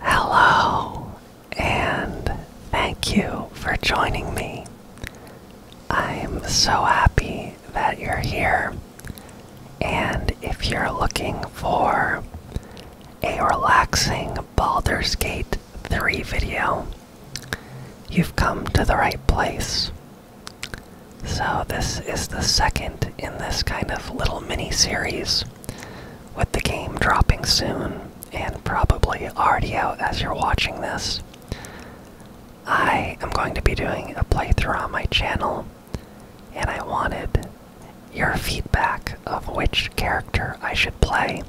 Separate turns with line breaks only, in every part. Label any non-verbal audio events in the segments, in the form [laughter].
Hello, and thank you for joining me. I'm so happy that you're here. And if you're looking for a relaxing Baldur's Gate 3 video, you've come to the right place. So, this is the second in this kind of little mini series with the game dropping soon, and probably already out as you're watching this, I am going to be doing a playthrough on my channel, and I wanted your feedback of which character I should play.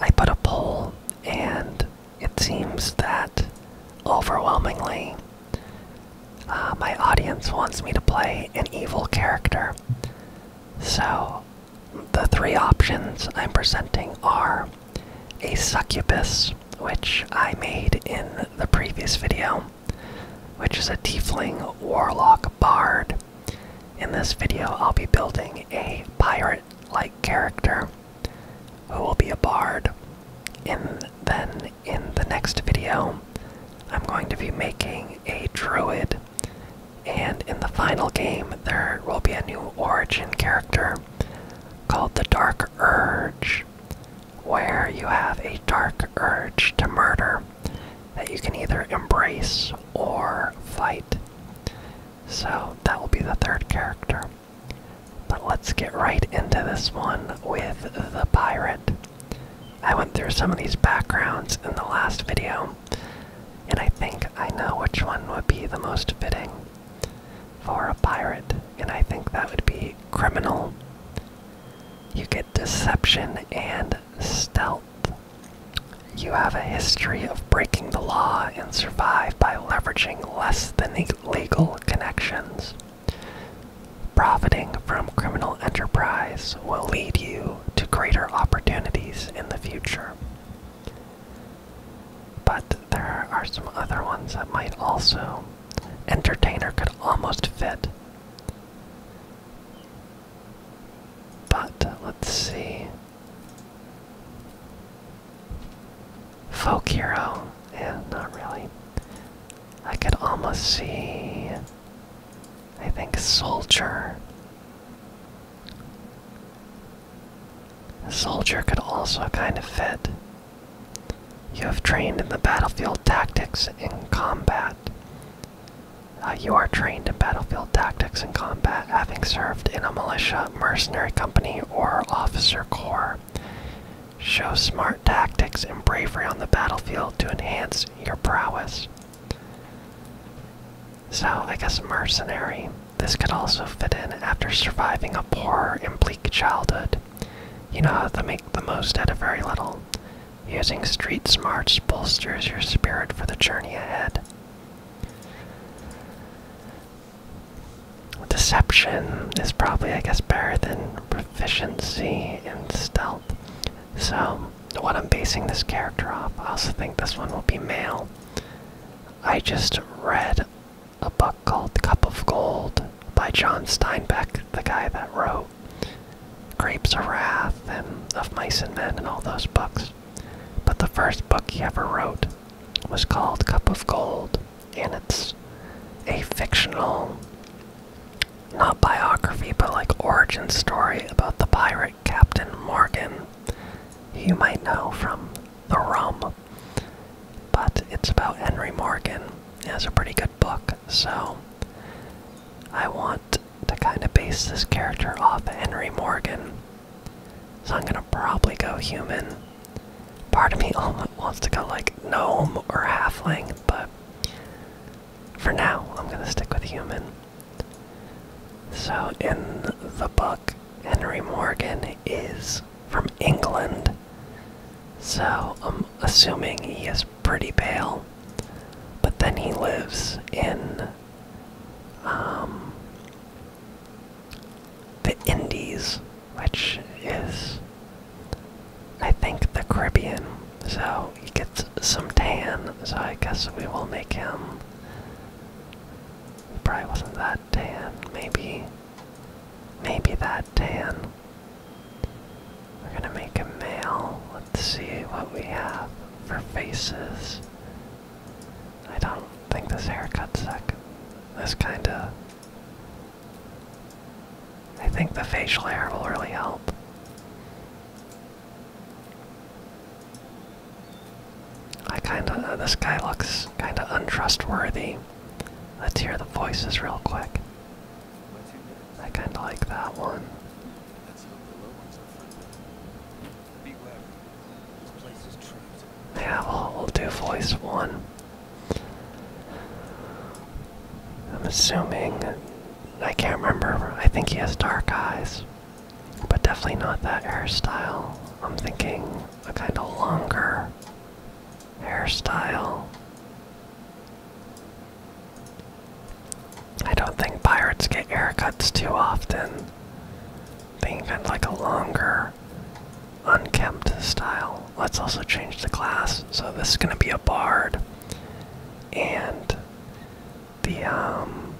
I put a poll, and it seems that overwhelmingly uh, my audience wants me to play an evil character. So, the three options I'm presenting are a succubus, which I made in the previous video, which is a tiefling warlock bard. In this video, I'll be building a pirate like character who will be a bard. And then in the next video, I'm going to be making a druid and in the final game, there will be a new origin character called the Dark Urge, where you have a dark urge to murder that you can either embrace or fight. So that will be the third character. But let's get right into this one with the pirate. I went through some of these backgrounds in the last video, and I think I know which one would be the most fitting for a pirate, and I think that would be criminal. You get deception and stealth. You have a history of breaking the law and survive by leveraging less than legal connections. Profiting from criminal enterprise will lead you to greater opportunities in the future. But there are some other ones that might also. Entertainer could almost fit. But let's see. Folk hero. Yeah, not really. I could almost see I think soldier. Soldier could also kind of fit. You have trained in the battlefield tactics in combat. Uh, you are trained in battlefield tactics in combat, having served in a militia, mercenary company, or officer corps. Show smart tactics and bravery on the battlefield to enhance your prowess. So, I guess mercenary. This could also fit in after surviving a poor and bleak childhood. You know how to make the most out of very little. Using street smarts bolsters your spirit for the journey ahead. Deception is probably, I guess, better than proficiency in stealth. So, what I'm basing this character off, I also think this one will be male. I just read a book called Cup of Gold by John Steinbeck, the guy that wrote Grapes of Wrath and Of Mice and Men and all those books. But the first book he ever wrote was called Cup of Gold, and it's a fictional not biography, but like origin story about the pirate Captain Morgan, you might know from The Rum. But it's about Henry Morgan. It has a pretty good book, so I want to kind of base this character off Henry Morgan. So I'm gonna probably go human. Part of me [laughs] wants to go like gnome or halfling, but for now I'm gonna stick with human. So in the book, Henry Morgan is from England. So I'm assuming he is pretty pale. But then he lives in um, the Indies, which is, I think, the Caribbean. So he gets some tan, so I guess we will make him. Probably wasn't that tan. Maybe. Maybe that tan. We're gonna make a male. Let's see what we have for faces. I don't think this haircut's that This kinda. I think the facial hair will really help. I kinda, uh, this guy looks kinda untrustworthy. Let's hear the voices real quick. I kinda like that one. Yeah, we'll, we'll do voice one. I'm assuming I can't remember. I think he has dark eyes, but definitely not that hairstyle. I'm thinking a kind of longer hairstyle. I don't think pirates get haircuts too often. Being kind of like a longer, unkempt style. Let's also change the class. So this is going to be a bard. And the um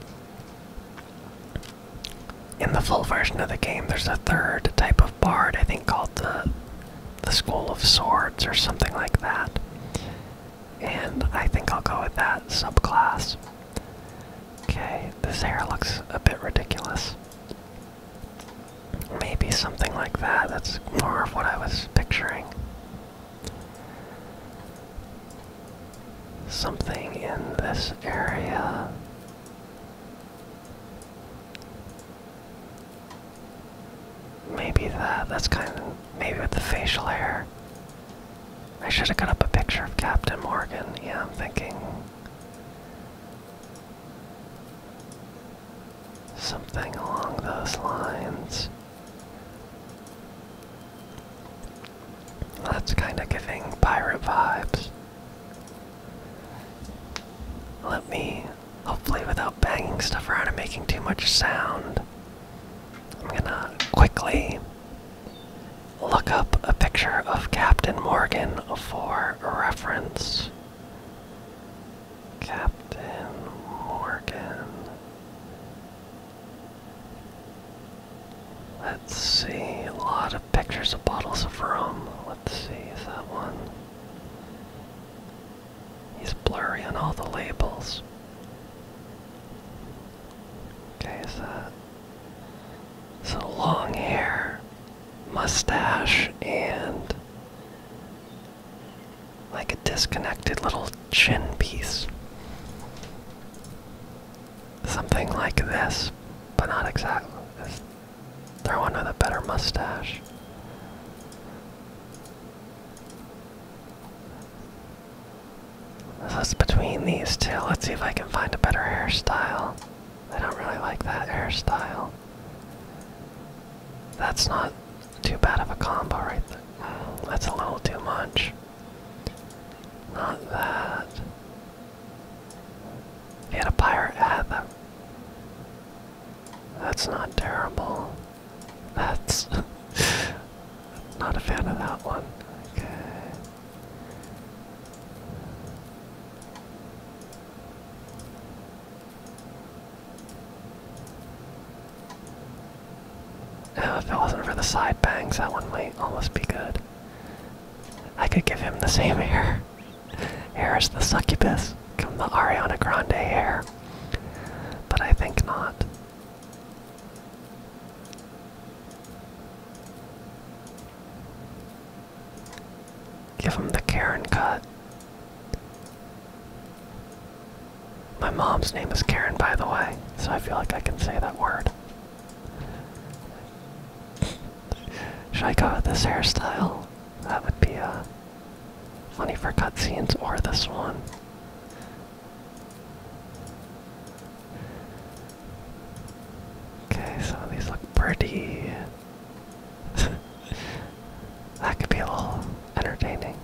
in the full version of the game there's a third type of bard I think called the the School of Swords or something like that. And I think I'll go with that subclass. Okay, this hair looks a bit ridiculous. Maybe something like that. That's more of what I was picturing. Something in this area. Maybe that, that's kind of, maybe with the facial hair. I should have cut up a picture of Captain Morgan. Yeah, I'm thinking. Something along those lines. That's kind of giving pirate vibes. Let me, hopefully, without banging stuff around and making too much sound, I'm gonna quickly look up a picture of Captain Morgan for reference. Captain Morgan. Let's see, a lot of pictures of bottles of rum. Let's see, is that one? He's blurry on all the labels. Okay, is that? So long hair, mustache, and like a disconnected little chin piece. Something like this, but not exactly. Just throw one with a better mustache. So it's between these two. Let's see if I can find a better hairstyle. I don't really like that hairstyle. That's not too bad of a combo right there. That's a little too much. Not that. If you that's not terrible. That's [laughs] not a fan of that one. Okay.
Now, if it wasn't
for the side bangs, that one might almost be good. I could give him the same hair. Here's [laughs] the succubus. Give the Ariana Grande hair. But I think not. Give him the Karen cut. My mom's name is Karen, by the way, so I feel like I can say that word. Should I go with this hairstyle? That would be a uh, funny for cutscenes or this one. Okay, so these look pretty. [laughs] that could be a little entertaining.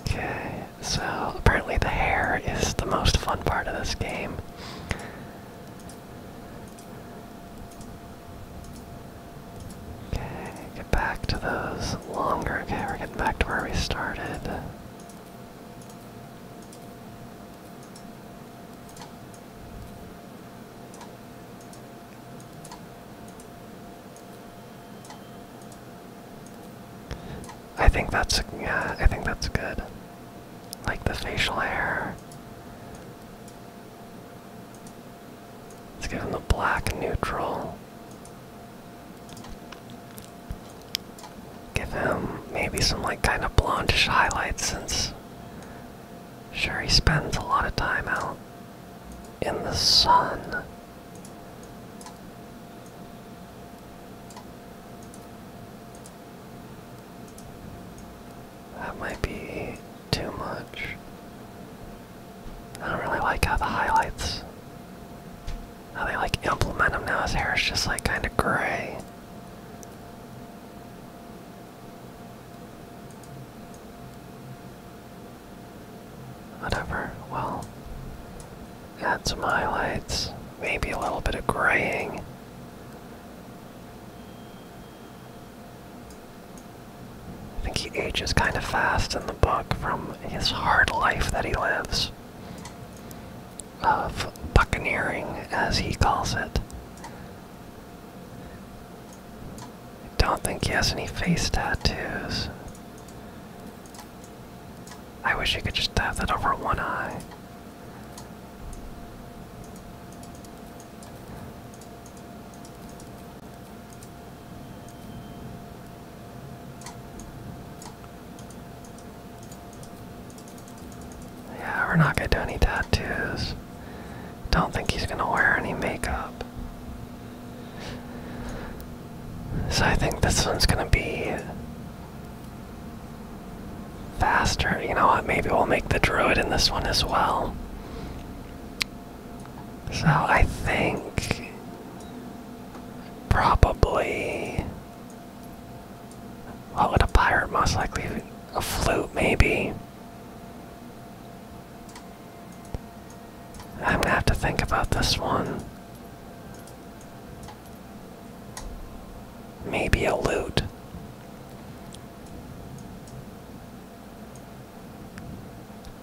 Okay, so apparently the hair is the most fun part of this game. Okay, get back to those longer. Okay, getting back to where we started. I think that's yeah, I think that's good. Like the facial hair. Let's give him the black neutral. Give him maybe some like kind of blondish highlights since sure he spends a lot of time out in the sun. That might be too much. I don't really like how the highlights, how they like implement them now. His hair is just like kind of gray. Whatever, well, got some highlights, maybe a little bit of graying. I think he ages kind of fast in the book from his hard life that he lives of buccaneering, as he calls it. I don't think he has any face tattoos. I wish he could just have that over one eye. Yeah, we're not gonna do any tattoos. Don't think he's gonna wear any makeup. So I think this one's gonna be faster. You know what? Maybe we'll make the druid in this one as well. So I think probably what would a pirate most likely a flute maybe I'm gonna have to think about this one. Maybe a lute.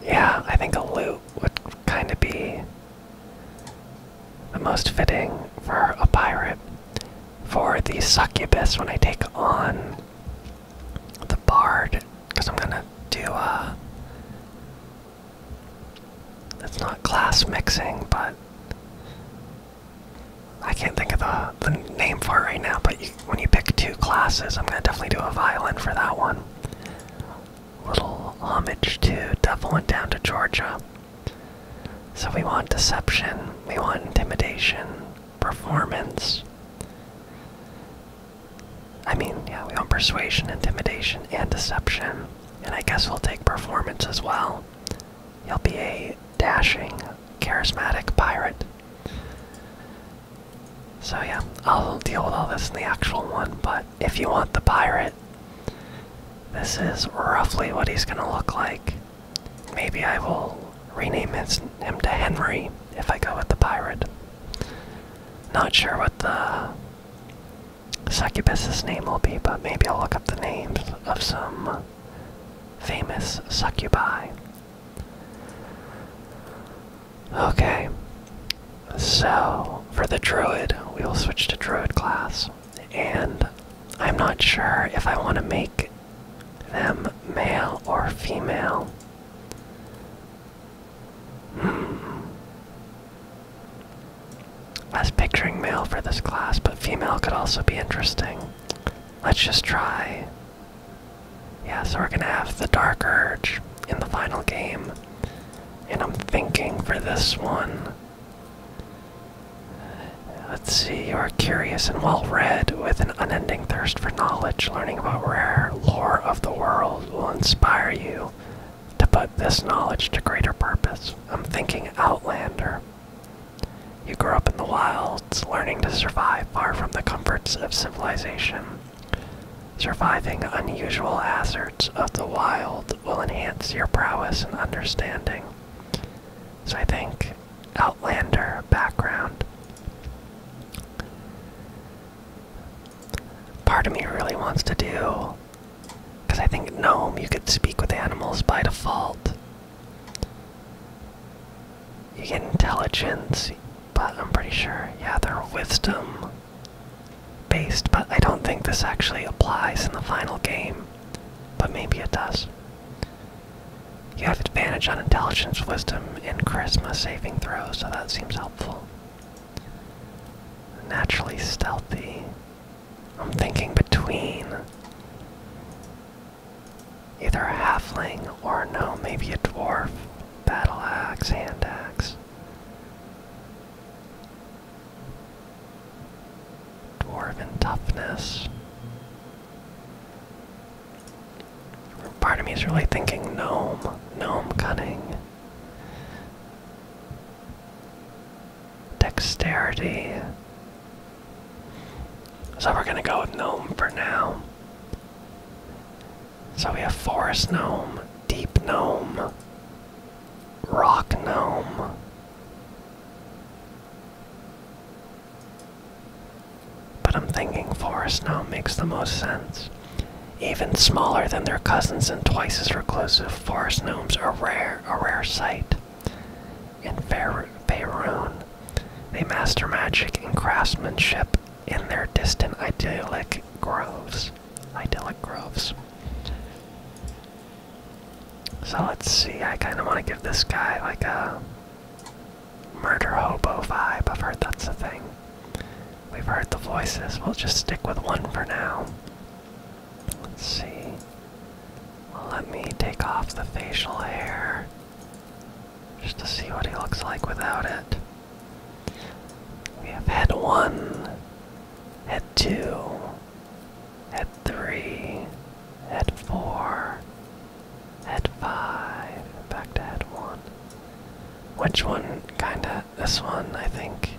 Yeah, I think a lute would kind of be the most fitting for a pirate. For the succubus, when I take on the bard, because I'm gonna do a uh, that's not class mixing, but I can't think of the, the name for it right now, but when you pick two classes, I'm gonna definitely do a violin for that one. Little homage to Devil Went Down to Georgia. So we want deception, we want intimidation, performance. I mean, yeah, we want persuasion, intimidation, and deception. And I guess we'll take performance as well. He'll be a dashing, charismatic pirate. So, yeah, I'll deal with all this in the actual one, but if you want the pirate, this is roughly what he's gonna look like. Maybe I will rename him to Henry if I go with the pirate. Not sure what the succubus's name will be, but maybe I'll look up the names of some famous succubi. Okay, so for the druid, we will switch to druid class, and I'm not sure if I want to make them male or female. Hmm. I was picturing male for this class, but female could also be interesting. Let's just try. Yeah, so we're gonna have the Dark Urge in the final game. And I'm thinking for this one. Let's see, you are curious and well read with an unending thirst for knowledge. Learning about rare lore of the world will inspire you to put this knowledge to greater purpose. I'm thinking Outlander. You grew up in the wilds, learning to survive far from the comforts of civilization. Surviving unusual hazards of the wild will enhance your prowess and understanding. So I think Outlander background. Part of me really wants to do. Because I think Gnome, you could speak with animals by default. You get intelligence, but I'm pretty sure, yeah, they're wisdom based, but I don't think this actually applies in the final game. But maybe it does. You have advantage on intelligence, wisdom, and charisma saving throw, so that seems helpful. Naturally stealthy. I'm thinking between either a halfling or no, maybe a dwarf. Battle axe, hand axe. Dwarven toughness. Part of me is really thinking gnome, gnome cunning. Dexterity. So we're gonna go with gnome for now. So we have forest gnome, deep gnome, rock gnome. But I'm thinking forest gnome makes the most sense. Even smaller than their cousins and twice as reclusive, forest gnomes are rare, a rare sight. In fair Faerun, they master magic and craftsmanship in their distant idyllic groves. Idyllic groves. So let's see, I kind of want to give this guy like a murder hobo vibe. I've heard that's a thing. We've heard the voices. We'll just stick with one for now. Let's see. let me take off the facial hair just to see what he looks like without it. We have had one, head two, head three, head four, head five, back to had one. Which one? Kinda this one, I think.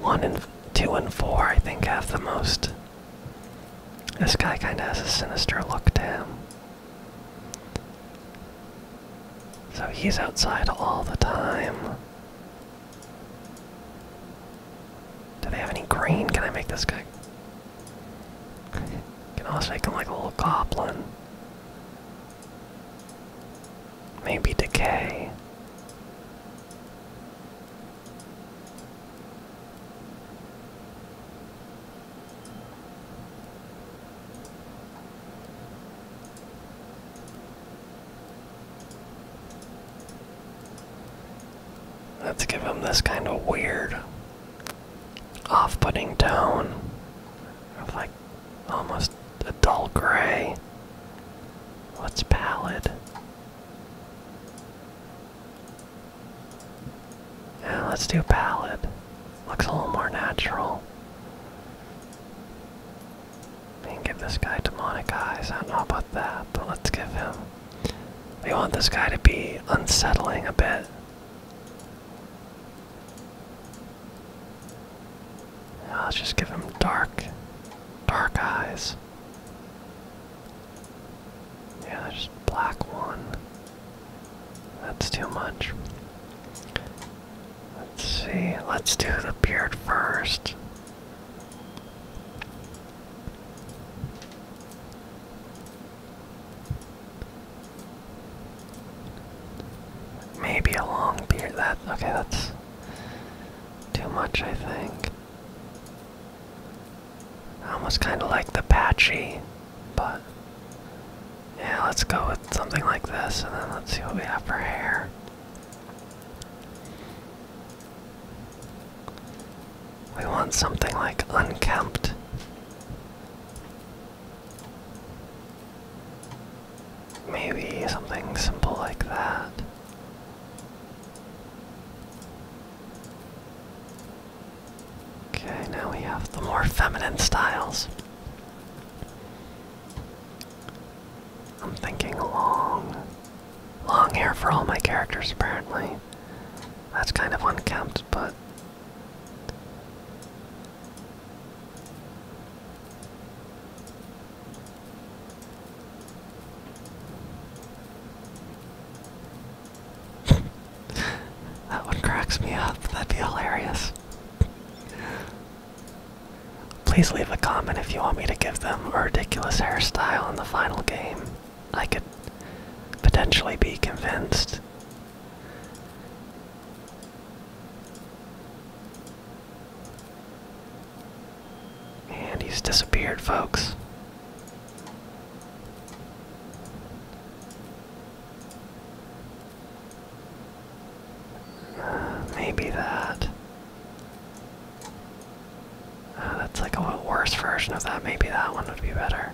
One and two and four, I think, have the most. This guy kind of has a sinister look to him. So he's outside all the time. Do they have any green? Can I make this guy? Can I make him like a little goblin. Maybe decay. Let's give him this kind of weird off-putting tone of like almost a dull gray. What's pallid? Yeah, let's do pallid. Looks a little more natural. We can give this guy demonic eyes. I don't know about that, but let's give him. We want this guy to be unsettling a bit let's just give him dark, dark eyes. Yeah, just black one. That's too much. Let's see, let's do the beard first. Maybe a long beard. That okay, that's too much, I think. almost kind of like the patchy, but yeah, let's go with something like this, and then let's see what we have for hair. We want something like unkempt. Maybe something simple like that. Okay, now we have the more feminine styles. I'm thinking long. Long hair for all my characters, apparently. That's kind of unkempt, but. [laughs] that one cracks me up. That'd be hilarious. Please leave a comment if you want me to give them a ridiculous hairstyle in the final game. I could potentially be convinced and he's disappeared, folks. Uh, maybe that. Uh, that's like a worse version of that. Maybe that one would be better.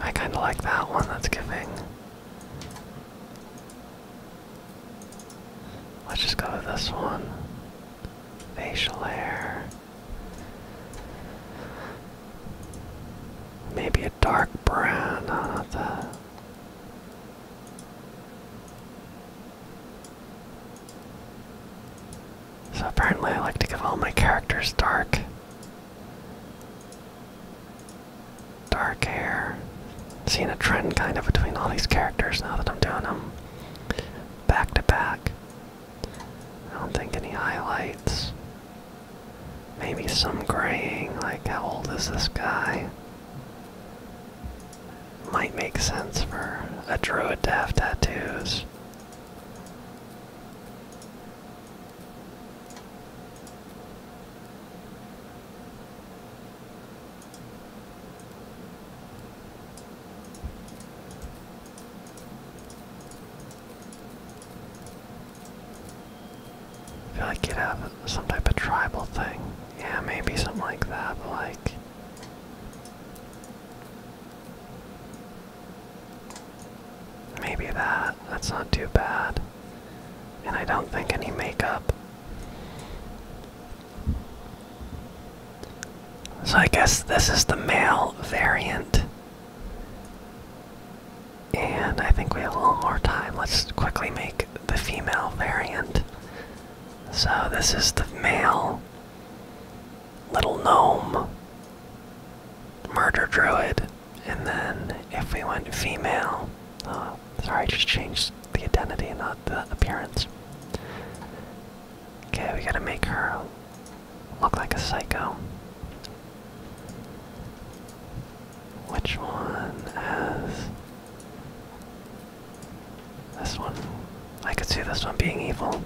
I kind of like that one, that's giving. Let's just go with this one. Facial hair. Maybe a dark brown, no, that. So apparently I like to give all my characters dark. Dark hair. Seeing a trend kind of between all these characters now that I'm doing them back to back. I don't think any highlights. Maybe some graying, like how old is this guy? Might make sense for a druid to have tattoos. I feel like you'd have some type of tribal thing. Yeah, maybe something like that, like Maybe that. That's not too bad. And I don't think any makeup. So I guess this is the male variant. And I think we have a little more time. Let's quickly make the female variant. So this is the male little gnome, murder druid, and then if we went female, uh, sorry, I just changed the identity, not the appearance. Okay, we gotta make her look like a psycho. Which one has. This one. I could see this one being evil.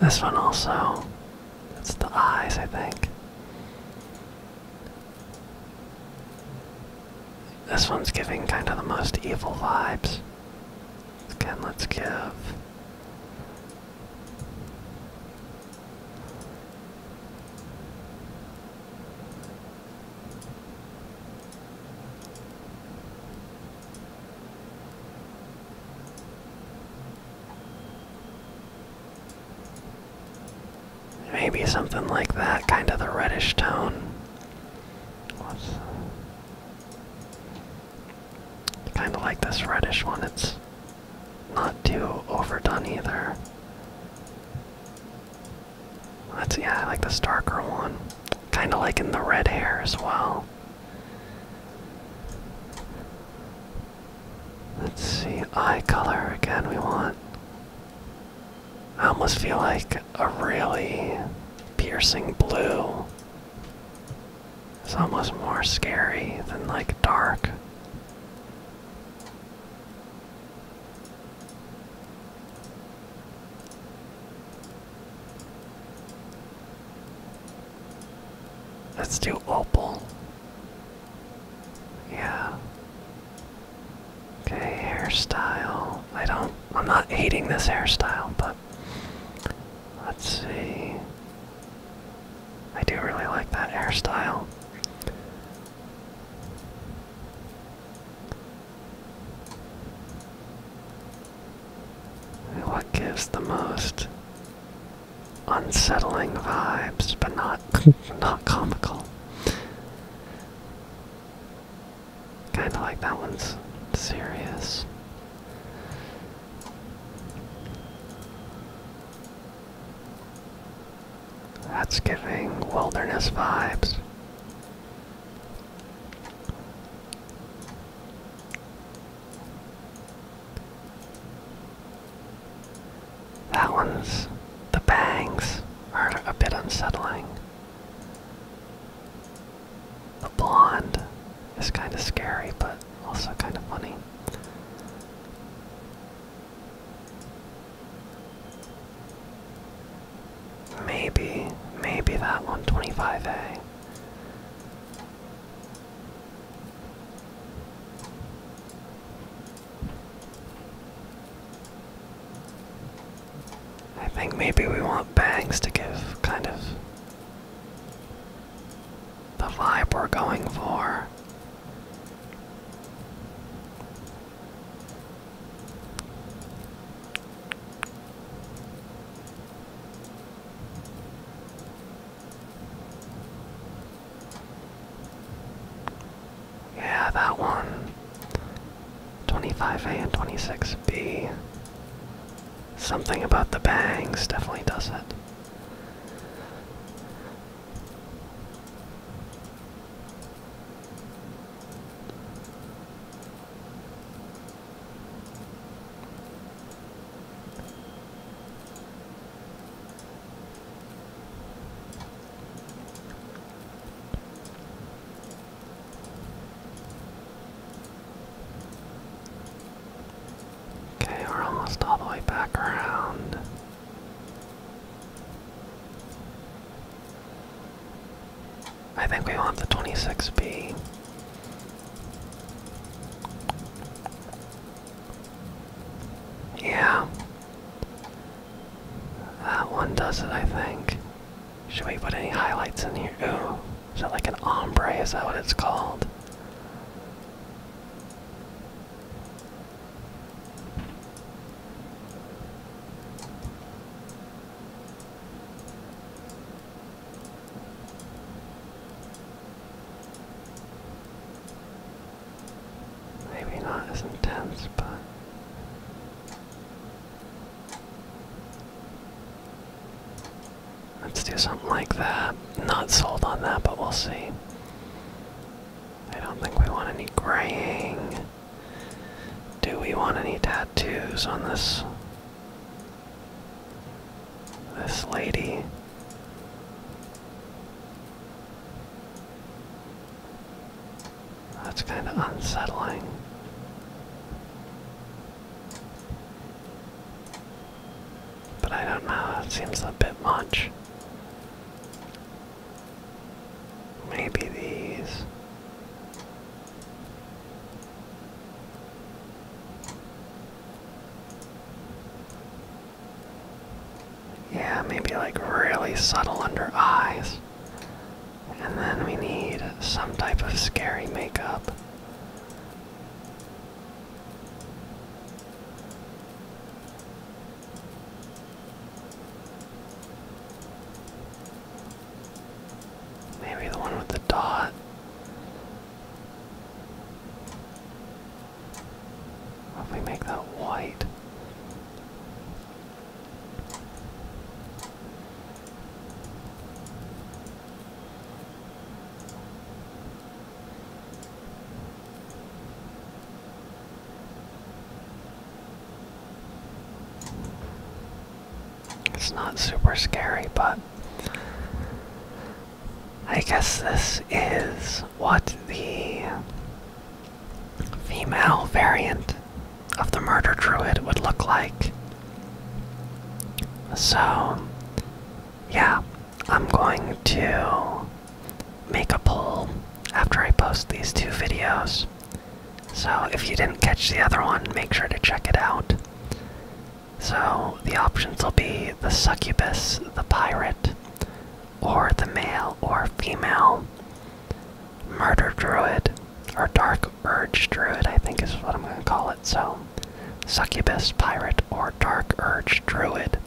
This one also. It's the eyes, I think. This one's giving kind of the most evil vibes. Again, let's give. Maybe something like that, kind of the reddish tone. kind of like this reddish one, it's not too overdone either. Let's yeah, I like this darker one. Kind of like in the red hair as well. Let's see, eye color again we want. I almost feel like a really piercing blue It's almost more scary than like dark. Let's do opal. Yeah. Okay, hairstyle. I don't, I'm not hating this hairstyle, but let's see. I do really like that hairstyle. What gives the most unsettling vibes, but not [laughs] not comical? Kind of like that one's serious. That's giving wilderness vibes. That one's. The bangs are a bit unsettling. The blonde is kind of scary, but also kind of funny. Maybe, maybe that 125A. I think maybe we want bangs to give kind of the vibe we're going for. Yeah, that one. 25A and 26B. Something about the bangs definitely does it. Okay, we're almost all the way back around. I think we want the 26B. Yeah. That one does it, I think. Should we put any highlights in here? Ooh, is that like an ombre? Is that what it's called? Maybe not as intense, but. Let's do something like that. Not sold on that, but we'll see. I don't think we want any graying. Do we want any tattoos on this this lady. That's kind of unsettling. But I don't know, it seems a bit much. Maybe these. Yeah, maybe like really subtle under eyes. And then we need some type of scary makeup. Maybe the one with the dot. If me make that white, it's not super scary, but I guess this is what the female variant of the murder druid would look like. So, yeah, I'm going to make a poll after I post these two videos. So, if you didn't catch the other one, make sure to check it out. So the options will be the succubus, the pirate, or the male or female murder druid, or dark urge druid, I think is what I'm going to call it. So succubus, pirate, or dark urge druid.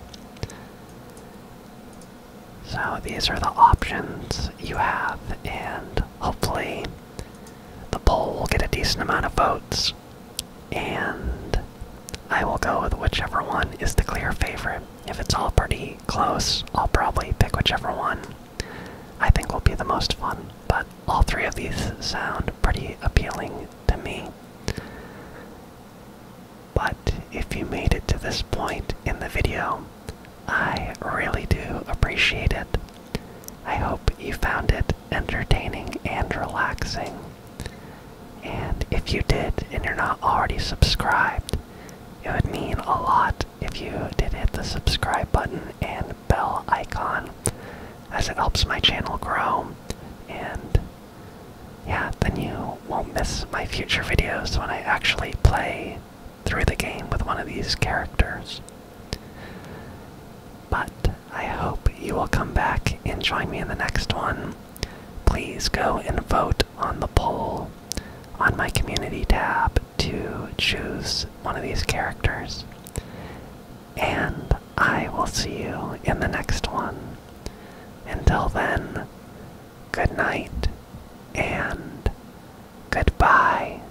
So these are the options you have, and hopefully the poll will get a decent amount of votes and I will go with whichever one is the clear favorite. If it's all pretty close, I'll probably pick whichever one I think will be the most fun, but all three of these sound pretty appealing to me. But if you made it to this point in the video, I really do appreciate it. I hope you found it entertaining and relaxing. And if you did and you're not already subscribed, it would mean a lot if you did hit the subscribe button and bell icon as it helps my channel grow. And yeah, then you won't miss my future videos when I actually play through the game with one of these characters. But I hope you will come back and join me in the next one. Please go and vote on the poll on my community tab to choose one of these characters. And I will see you in the next one. Until then, good night and goodbye.